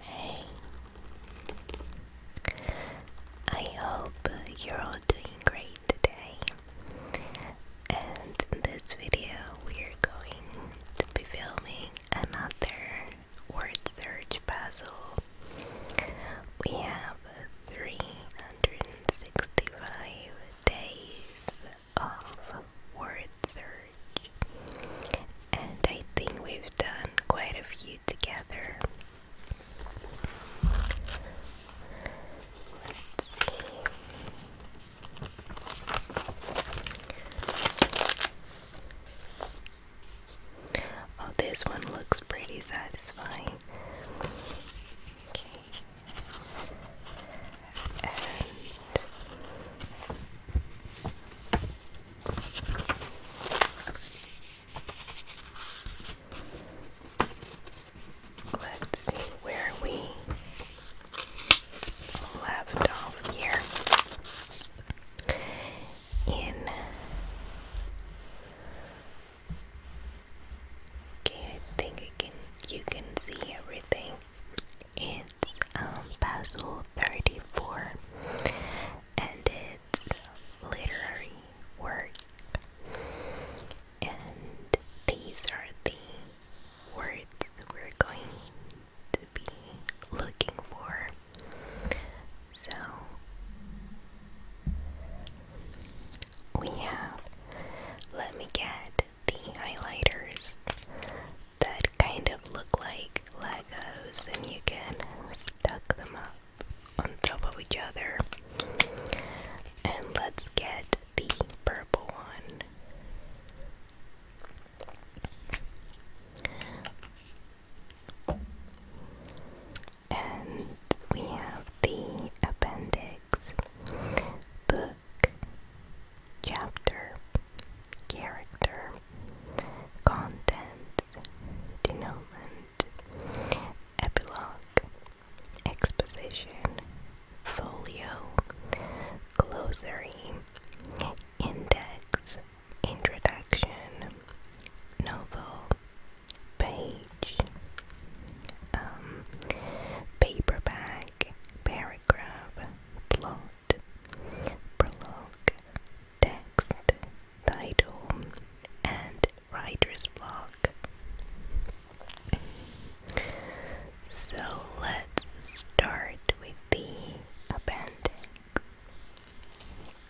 Hey, I hope you're all doing great today. And in this video, we're going to be filming another word search puzzle. We have 365 days of word and I think we've done quite a few together. Oh, this one looks pretty satisfying let's see where we left off here in I think you can you can see everything. It's um, Basil 34 and it's literary work. And these are the words we're going to be looking for. So we have, let me get the highlighters that kind of look like Legos and you can stack them up on top of each other. And let's get the purple one. And we have the appendix, but chapter, character, contents, denouement, epilogue, exposition, folio, glossary, index, introduction, novel, page, um, paperback, paragraph, plot, prologue, text, title, and writer's block. So let's start with the appendix.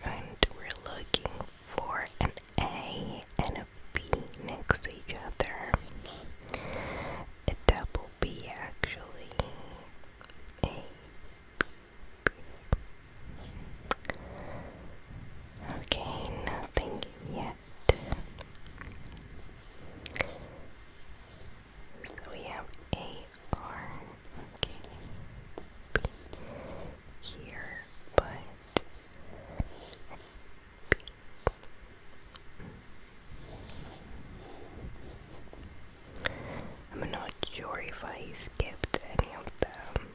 And we're looking for an A and a B next to each other. A double will actually Okay, nothing yet. So we have A R okay, here, but I'm not sure if I skipped any of them.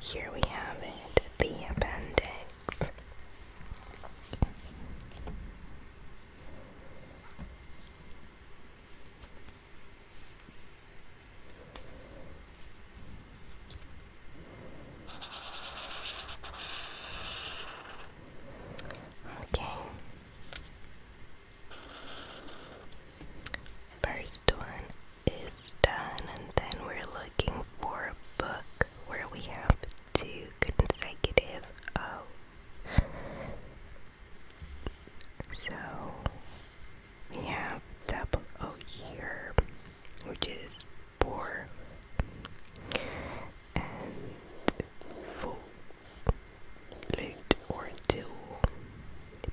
Here we have it, the appendix. Okay. First one is done, and then we're looking for a book where we have two consecutive O. Oh, so we have double O here, which is four and full loot or two,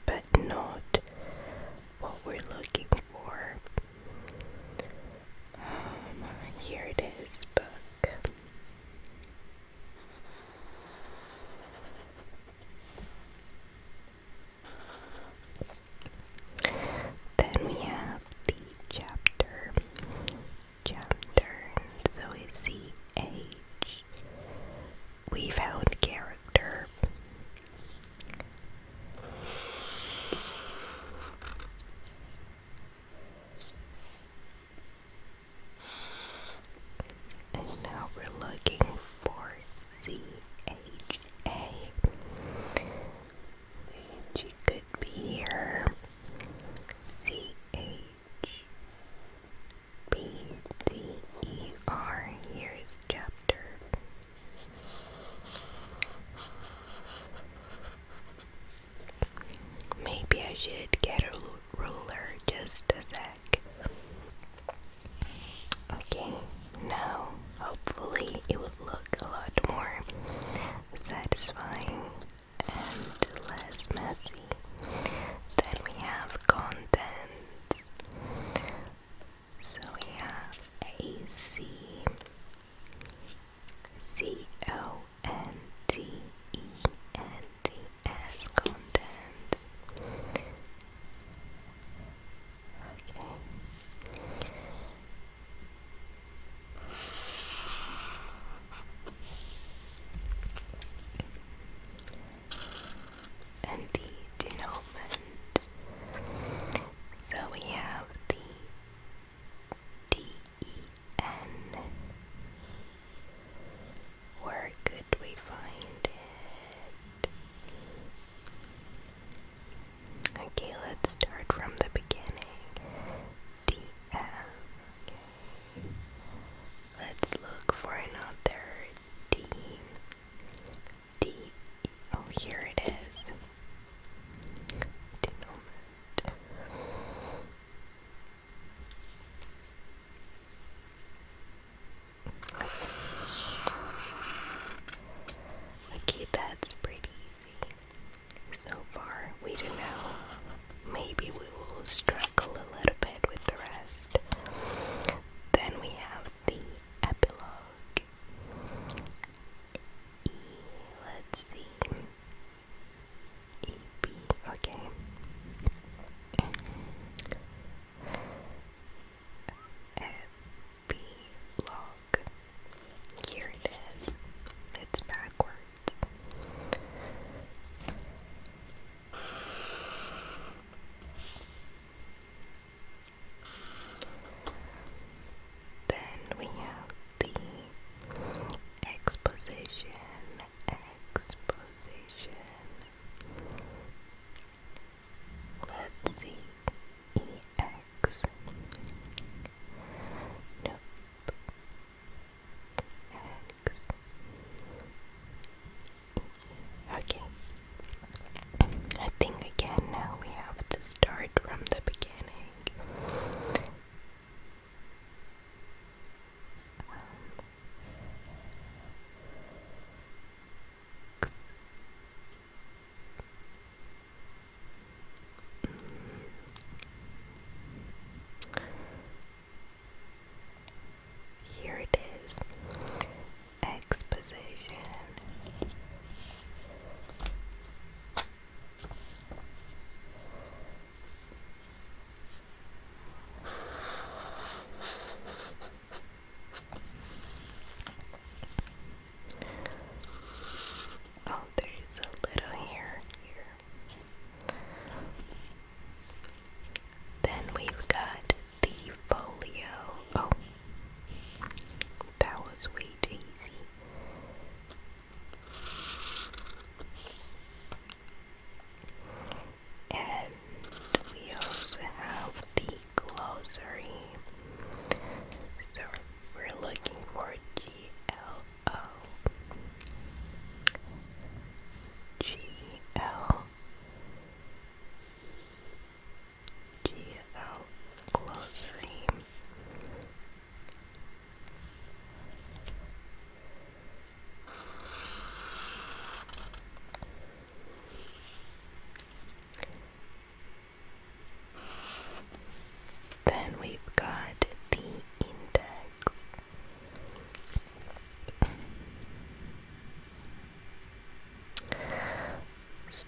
but not what we're looking for. Um, here it is, book. Then we have the chapter. Chapter, so is C H. We found character. And now we're looking for CHA, which could be here. CHBDER, here is chapter. Maybe I should get her ruler just a sec. Okay, now hopefully it would look a lot more satisfying and less messy. Then we have contents. So we have A C C O N T E N the as content. Okay. And the denouement. So we have the D E N where could we find it? Okay, let's start from the beginning. The Let's look for another D. D. Oh, here it is. Denominate. Okay, that's pretty easy. So far, we don't know. Maybe we will struggle a little bit with the rest. Then we have the epilogue. let's see. EP, okay. Epilogue. Here it is. It's backwards. Then we have the exposition exposition. Let's see. EX. Nope. X. Okay. I think again now we have to start from the beginning. Here it is. Exposition. Oh, there's a little hair here. Then we've got the folio. Oh, that was way too easy. And we also have the glossary. So we're looking for G L O G L G L glossary. Then we've got the index. So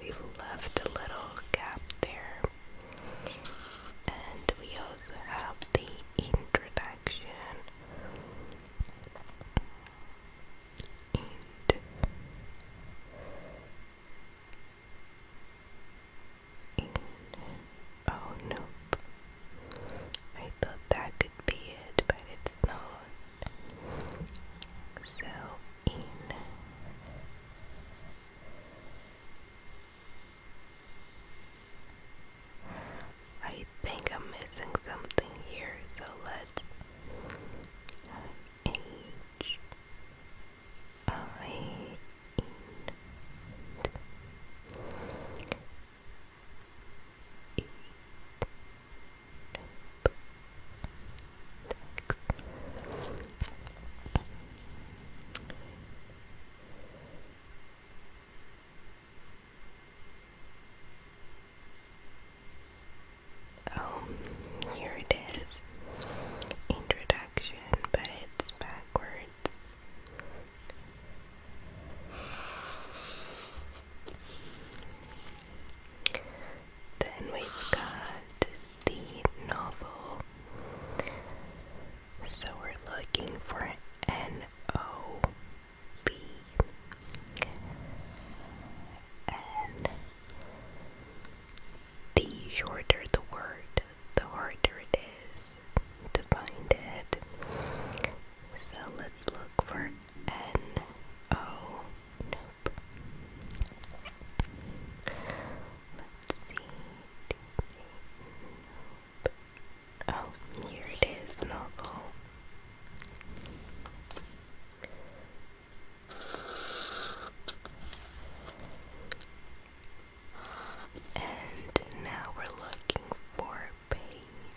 We've left a little gap there. And we also have the introduction. And oh no! I thought that could be it, but it's not. So in I think I'm missing something here, so let's H I N E Oh, here it is. Introduction, but it's backwards. Then we've got the novel. So we're looking for N O B and the shorter the word, the harder it is to find it. So let's look for N O. Nope. Let's see. Nope. Oh, here it is, novel. And now we're looking for page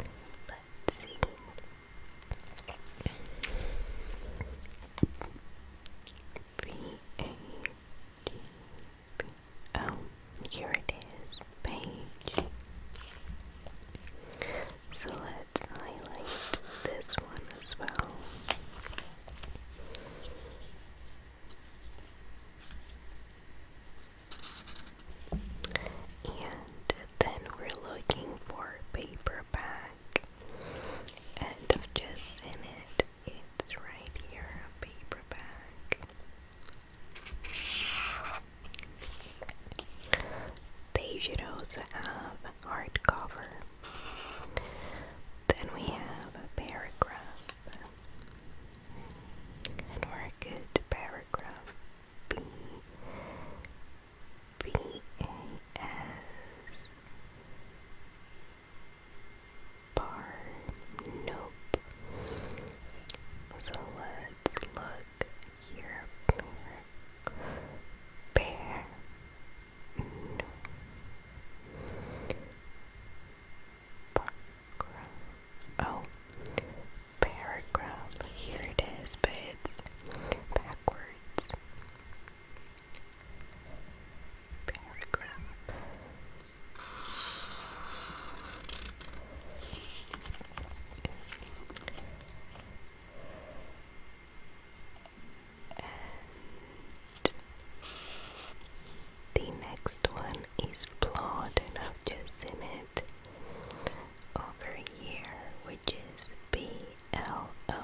Let's see. Oh, here it is. Page. So let's highlight this one as well. And then we're looking for paperback. And I've just seen it. It's right here, a paper should also have hardcover. Then we have a paragraph. And we're good paragraph B A S bar. Nope. So let's look here. Bear. No. Park. Oh, paragraph. Here it is, but it's backwards. Paragraph. the next one is flawed, and I've just seen it over here, which is B L O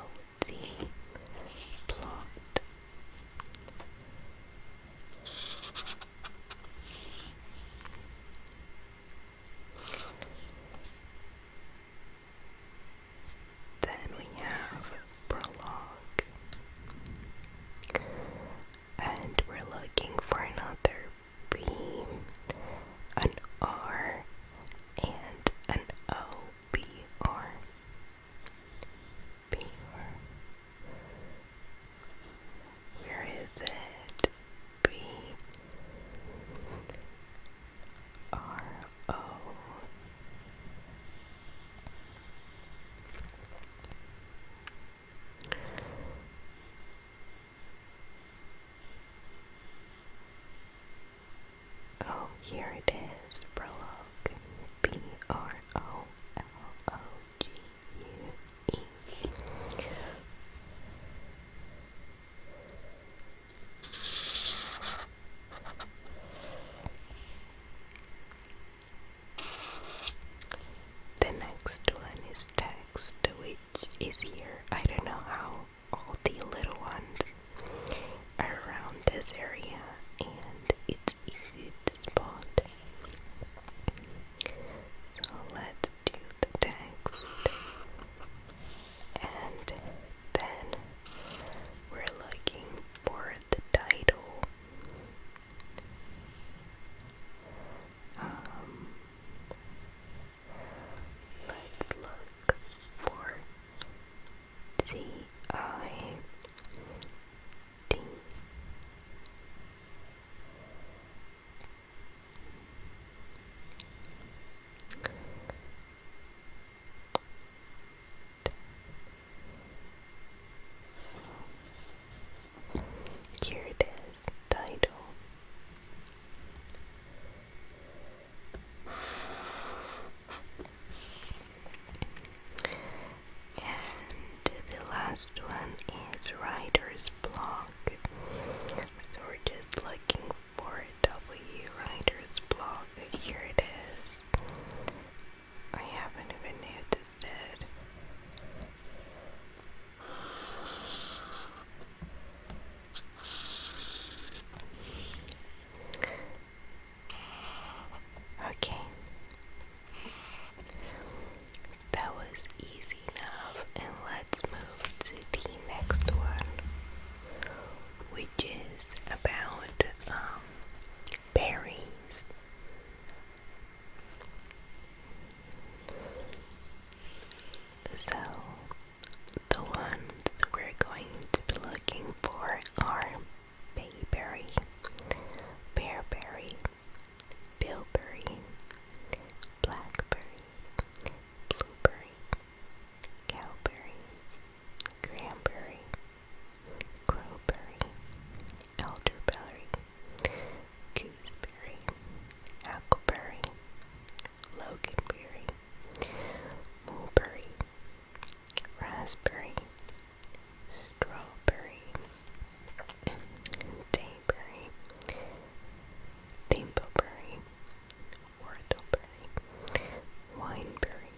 T plot. Then we have prologue, and we're looking for another B, an R, and an O, B, R, B, R. Where is it? B, R, O. Oh, here it is. Prologue. B R O L O G U E. The next one is text. We is here. I don't know how all the little ones are around this area and it's easy to spot. So let's do the text and then we're looking for the title. Um, let's look for C I D. Here it is, title. And the last one is writer's block. So we're just looking for W writer's block. Here it is. I haven't even noticed it. Okay. That was easy enough, and let's move to the next one, which is about um, berries. So, the ones we're going to be looking for are bayberry, bearberry, bilberry, blackberry, blueberry, cowberry, cranberry, crowberry, elderberry, gooseberry, hackleberry, loganberry, mulberry, raspberry, strawberry, dayberry, thimbleberry, whortleberry, wineberry,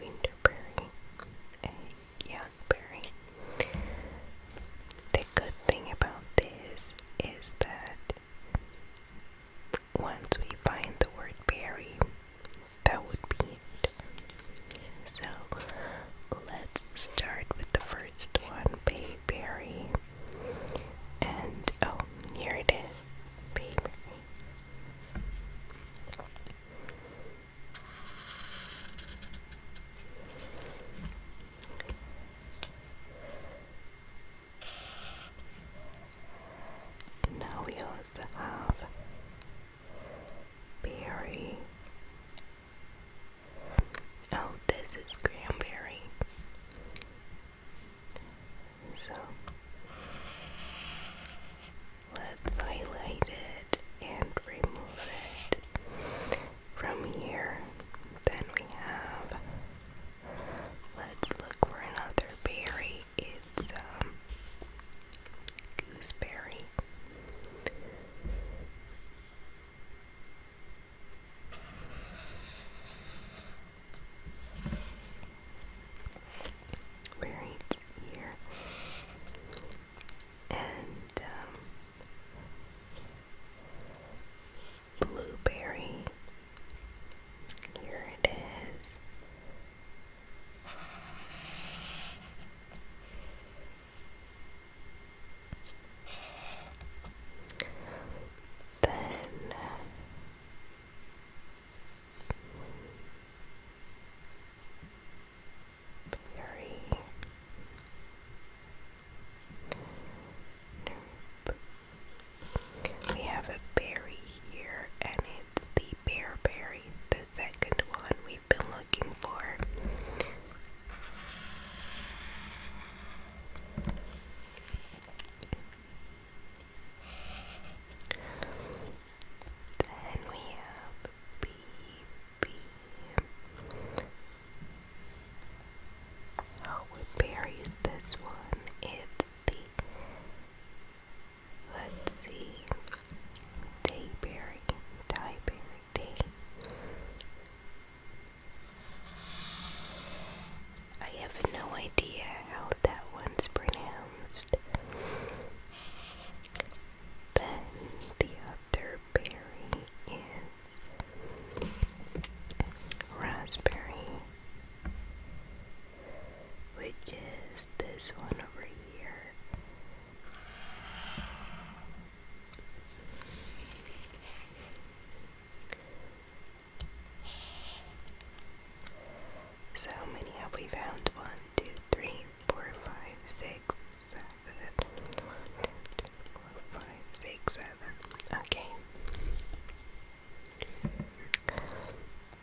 winterberry, Youngberry. The good thing about this is that once we find the word berry, that would be it. So let's start with the first one, bayberry. And oh, here it is, bayberry. Now we also have berry. Oh, this is cranberry. So let's highlight it and remove it from here. Then we have, let's look for another berry. It's um, gooseberry. Where here. And um, Blueberry. Here it is. Then blurry. We have a berry here, and it's the bear berry, the second one we've been looking for. Then we have beef be. Oh, what berry this one? It's the, let's see, dayberry, dieberry, I have no idea how that one's pronounced. Then the other berry is raspberry, which is this one over here. So many have we found? One, two, three, four, five, six, seven. One, Okay.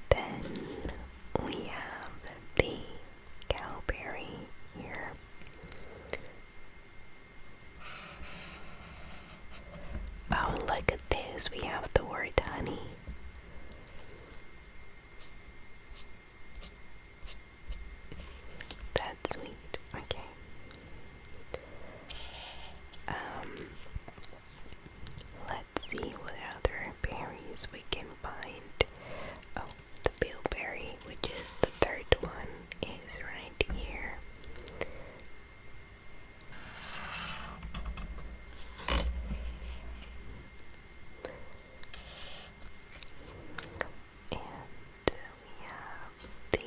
Then we have the cowberry here. Oh, look at this. We have the word honey. That's sweet. Okay. Um, let's see what other berries we can find. Oh, the bilberry, which is the third one, is right here. And we have the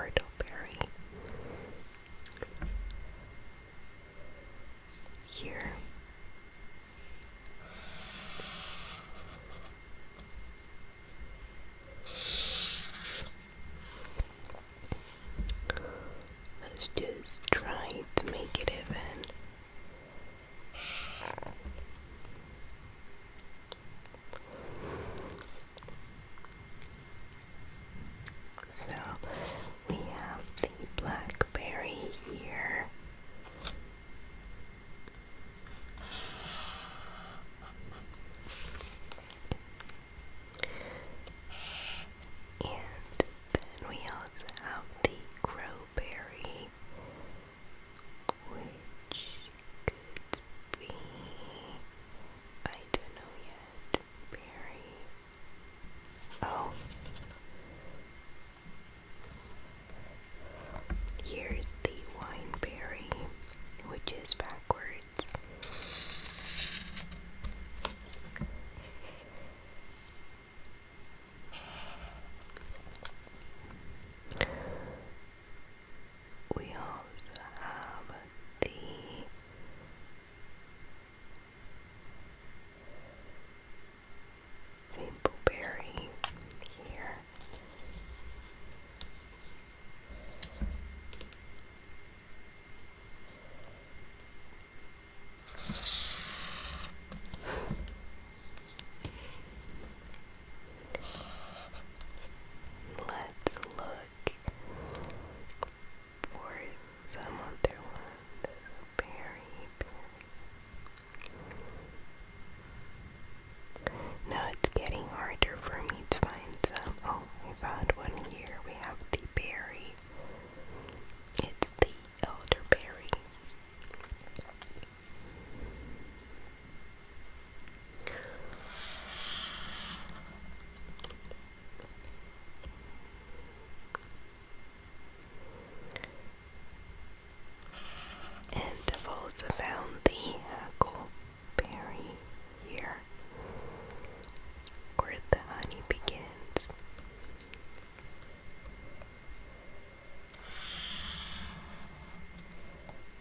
Wardleberry here. Let's just try to make it even. So we have the blackberry here. And then we also have the crowberry, which could be, I don't know yet, berry. Oh, here's the wineberry, which is backwards words. We also have the Maple here. Let's look for some other ones. Berry, now it's getting harder for me to find some. Oh, we found one here. We have the berry. It's the elderberry. And I've also found the hackle berry here, where the honey begins.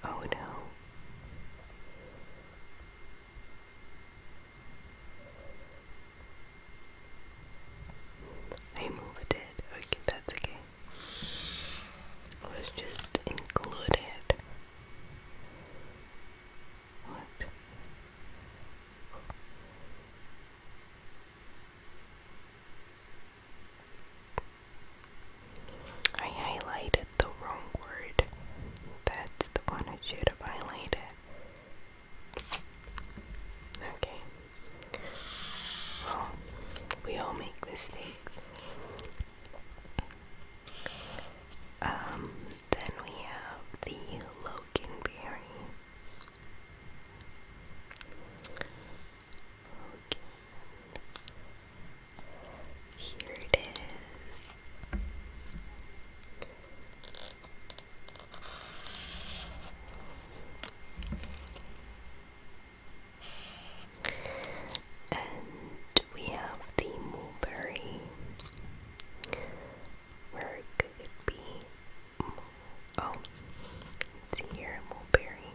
Oh no. I moved it. Okay, that's okay. Let's just include it. I highlighted the wrong word. That's the one I should have highlighted. Okay. we all make mistakes. Um, then we have the Loganberry. Here it is. And we have the mulberry. Where could it be? Oh, it's here, mulberry.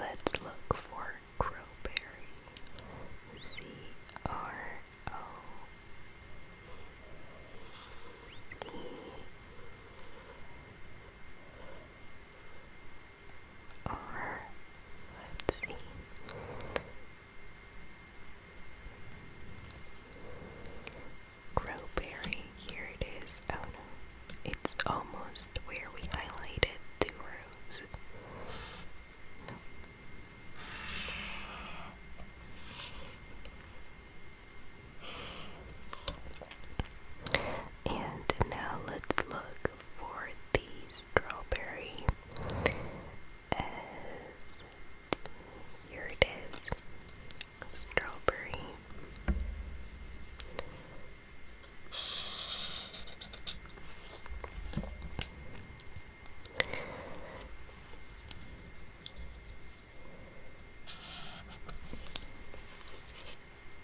Let's look for crowberry. C R O C let's see. Crowberry, here it is. Oh no, it's almost where we highlighted the rose. And now let's look for the strawberry. As here it is, strawberry.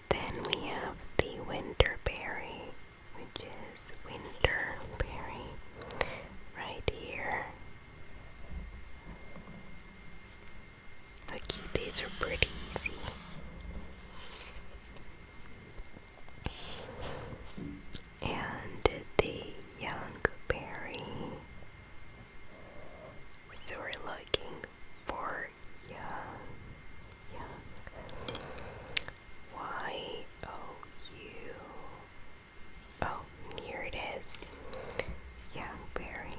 Then we have the winterberry, which is winterberry right here. Okay, these are pretty easy and the young berry. So we're looking for young, Oh, here it is, young berry.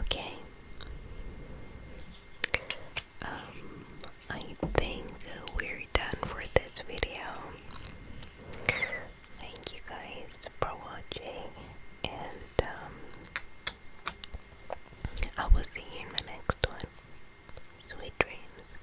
Okay. Um, I think we're done for this video. Thank you guys for watching, and um, I will see you in my next one. Sweet dreams.